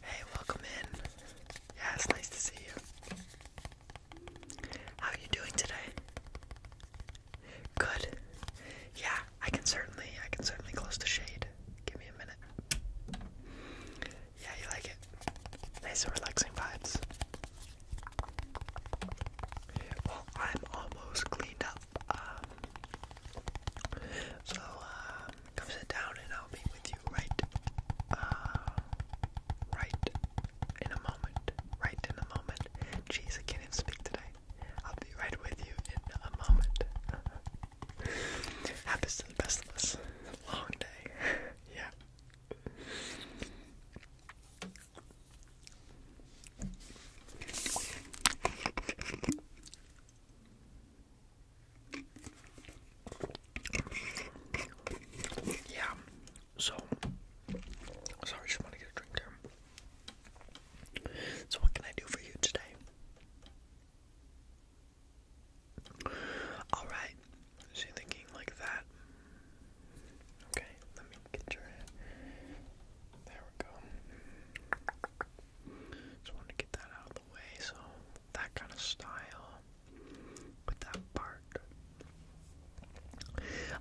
Hey, welcome in. Yeah, it's nice to see you. How are you doing today? Good. Yeah, I can certainly, I can certainly close the shade. Give me a minute. Yeah, you like it. Nice and relaxing vibes. Well, I'm almost cleaned up. Um, so, um, Come sit down and I'll be with you right, uh, right in a moment. Right in a moment. Jeez, can't even speak today. I'll be right with you in a moment. Happens to the best of us. Long day. yeah. Yeah, so sorry, just want to get a drink there. So, what can I do for you today? Alright, so you thinking like that. Okay, let me get your head. There we go. Just wanted to get that out way, so that kind of style with that part.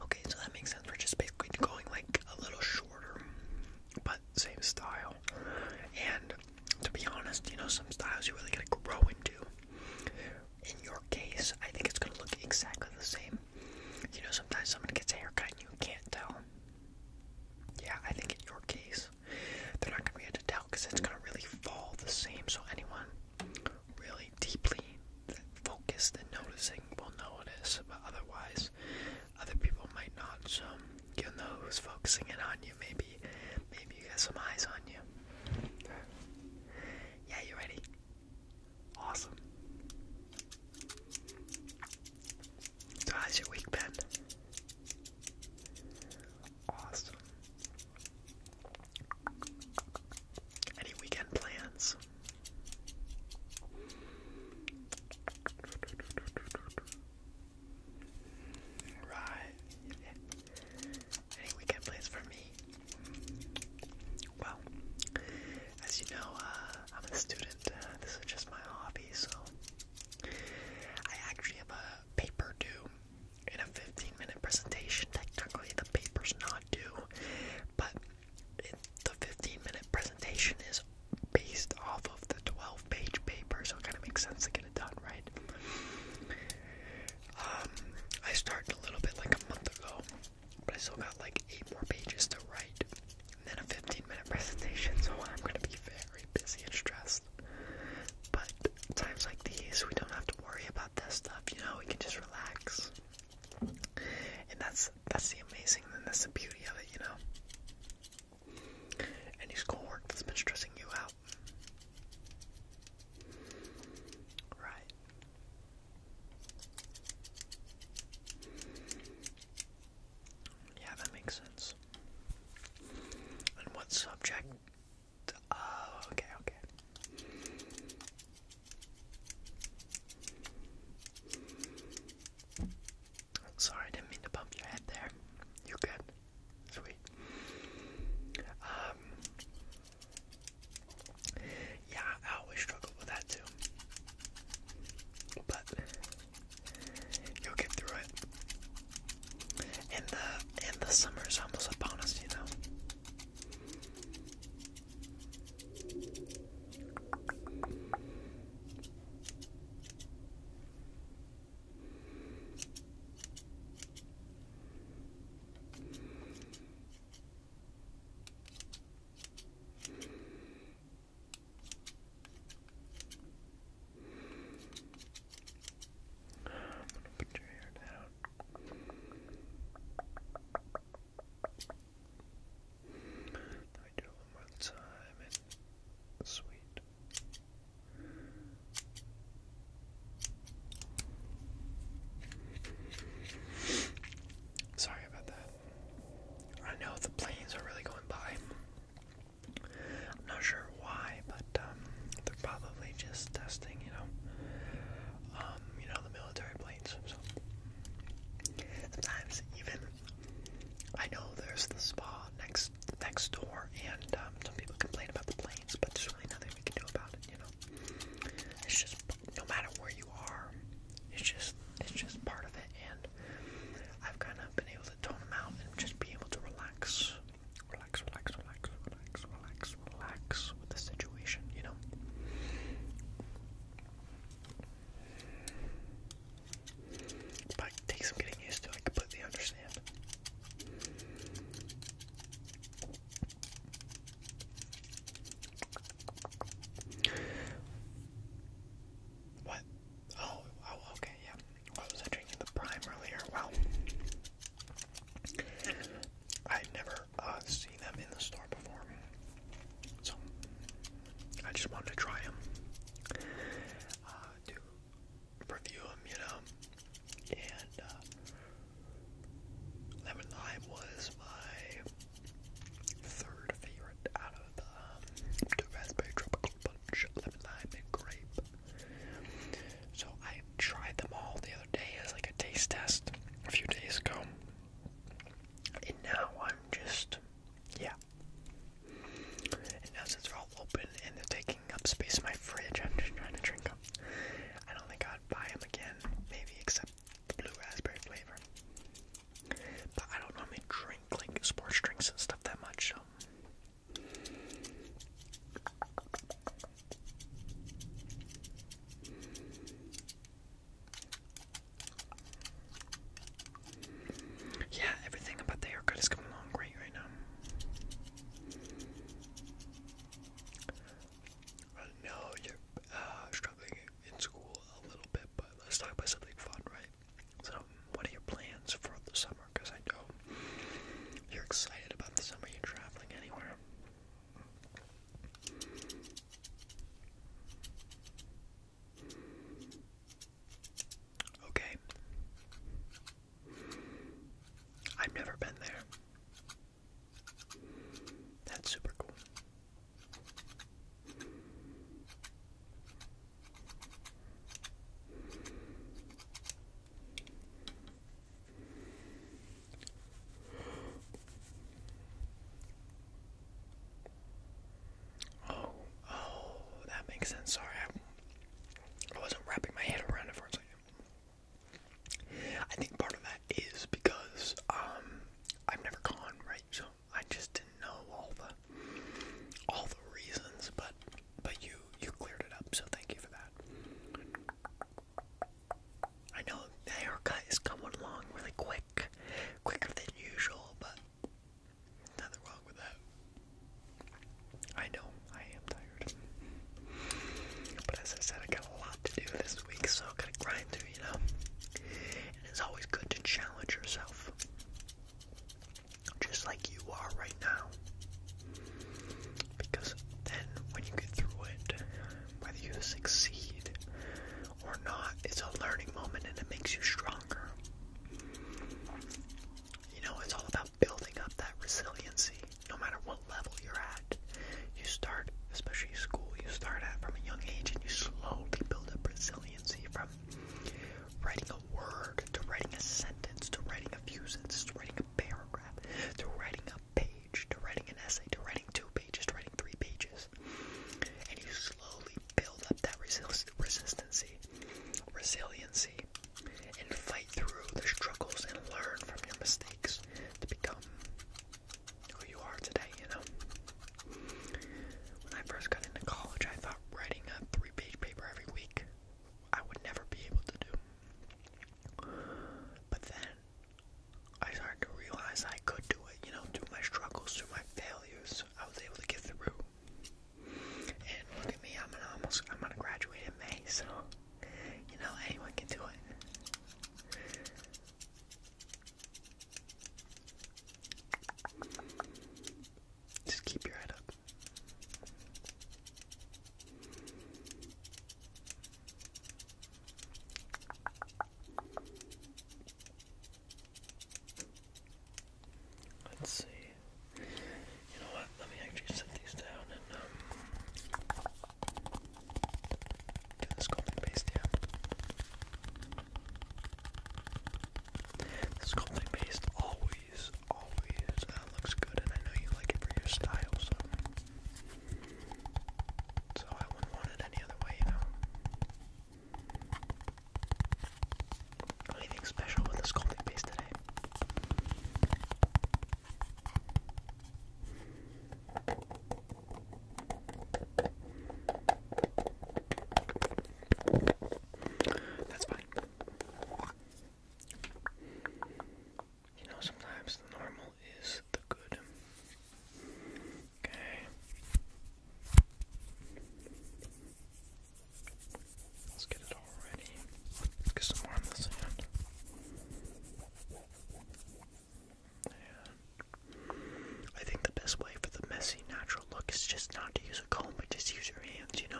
Okay, so that makes sense. We're just basically going like a little shorter, but same style. And to be honest, you know, some styles you really gotta grow into. In your case, I think it's gonna look exactly the same. You know, sometimes someone gets a haircut and you can't tell. Yeah, I think in your case, they're not going to be able to tell because it's going to really fall the same. So anyone really deeply focused and noticing will know it is, but otherwise, other people might not. So you'll know who's focusing in on you. Maybe, maybe you got some eyes on you. Yeah, you ready? Awesome. So how's your week been? Awesome. Any weekend plans? Right. Any weekend plans for me? Well, as you know, uh, I'm a student. Uh, this is just my hobby, so I actually have a paper due in a 15 minute presentation. Technically, the paper's not due, but the 15 minute presentation is based off of the 12 page paper, so it kind of makes sense to get it done, right? Um, I started a little bit like a month ago, but I still got like eight more pages to write and then a 15 minute presentation, so I'm going to be very busy and stressed. But times like these, we don't have to worry about this stuff, you know, we can just relax. And that's that's the amazing and that's the beauty of it, you know. Any schoolwork that's been stressing you out. Right. Yeah, that makes sense. And what subject? Oh, okay, okay. Sorry, I didn't mean to bump your head there. You good? Sweet. Um, yeah, I always struggle with that too. But you'll get through it. And the and the summer's almost upon us, you know. I'm gonna put your hair down. Let do it one more time and sweet. Sorry about that. I know the planes are really going by. I'm not sure why, but um, they're probably just testing, you know, um, you know, the military planes. So sometimes even I know there's the spa next next door, and um, some people complain about the planes, but there's really nothing we can do about it, you know. It's just no matter where you are, it's just it's just part of it, and I've kind of been able to tone them out and just be able to relax, relax, relax, relax, relax, relax, relax with the situation, you know. But it takes some getting used to. I completely understand. What? Oh, oh, okay, yeah. What was I drinking the prime earlier? Wow. I've never uh, seen them in the store before. So, I just wanted to try them. to uh, review them, you know. And uh, Lemon Lime was my Third favorite out of the um, raspberry tropical punch, lemon lime, and grape. So I tried them all the other day as like a taste test a few days ago, and now I'm just yeah. And now since they're all open and they're taking up space in my fridge, I'm just trying to drink them. I don't think I'd buy them again, maybe except the blue raspberry flavor. But I don't normally drink like sports drinks and stuff that much, Yeah, everything about the haircut is coming along great right now. I know you're uh, struggling in school a little bit, but let's talk about something fun, right? So, what are your plans for the summer? Because I know you're excited about the summer. You're traveling anywhere. Okay. I've never been there. That's super cool. Oh, oh, that makes sense. Sorry, I, wasn't wrapping my head around it for a second. I think part of that is because um I've never gone, right? So I just didn't know all the all the reasons, but but you you cleared it up, so thank you for that. I know the haircut is coming along really quick, quicker than usual, but nothing wrong with that. I know I am tired, but as I said, I got a lot to do this week, so I gotta grind through, you know. And it's always good to challenge yourself, just like you are right now, because then when you get through it, whether you succeed or not, it's a learning moment and it makes you stronger. You know, it's all about building up that resiliency, no matter what level you're at you start, especially school, you start at from a young age and you slowly build up resiliency from writing a word to writing a sentence to writing a few sentences to writing a paragraph to writing a page to writing an essay to writing two pages to writing three pages. And you slowly build up that resist resistancy, resiliency, and fight through the struggles and learn from your mistakes to become who you are today, you know? When I first got into college, I thought writing a three page paper every week I would never be able to do. But then I started to realize I could do it, you know, through my struggles, through my failures, I was able to get through. And look at me, I'm gonna almost I'm gonna graduate in May, so you know anyone can do it. Just keep your head up. Let's see. You know what? Let me actually set these down and um Get this golden paste, always, always looks good, and I know you like it for your style, so. So I wouldn't want any other way, you know. Anything special with the sculpting base today? That's fine. You know, sometimes the normal is the good. Okay. Let's get it all ready. Let's get some more on this hand. I think the best way for the messy natural look is just not to use a comb, but just use your hands, you know?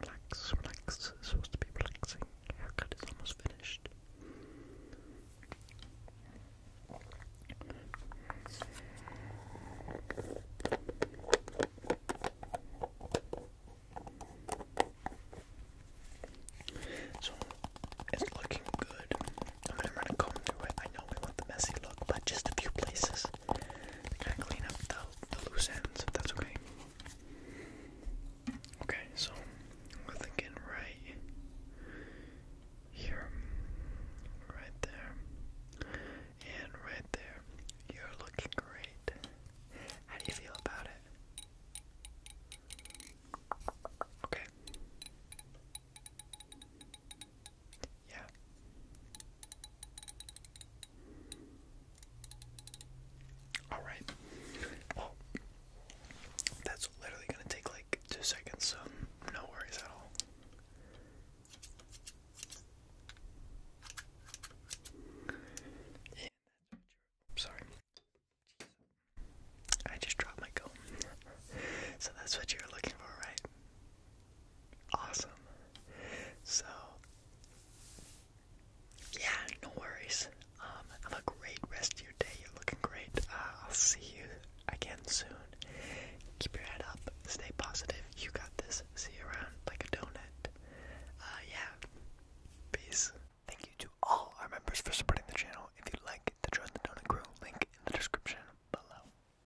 Relax, relax. It's supposed to be relaxing. Haircut is almost finished. So it's looking good. I'm gonna run a comb through it. I know we want the messy look, but just a few places kind of clean up the, the loose ends, that's okay. Okay, so we're thinking right here, right there, and right there. You're looking great. How do you feel about it? Okay. Yeah. Alright. Well, that's literally going to take like two seconds, no worries at all. sorry. I just dropped my comb. so that's what you're looking for, right? Awesome. So, yeah, no worries. Um, have a great rest of your day. You're looking great. Uh, I'll see you again soon. Keep your head up. Stay positive. You got this. See you around like a donut. Uh, yeah. Peace. Thank you to all our members for supporting the channel. If you'd like to join the Donut Crew, link in the description below.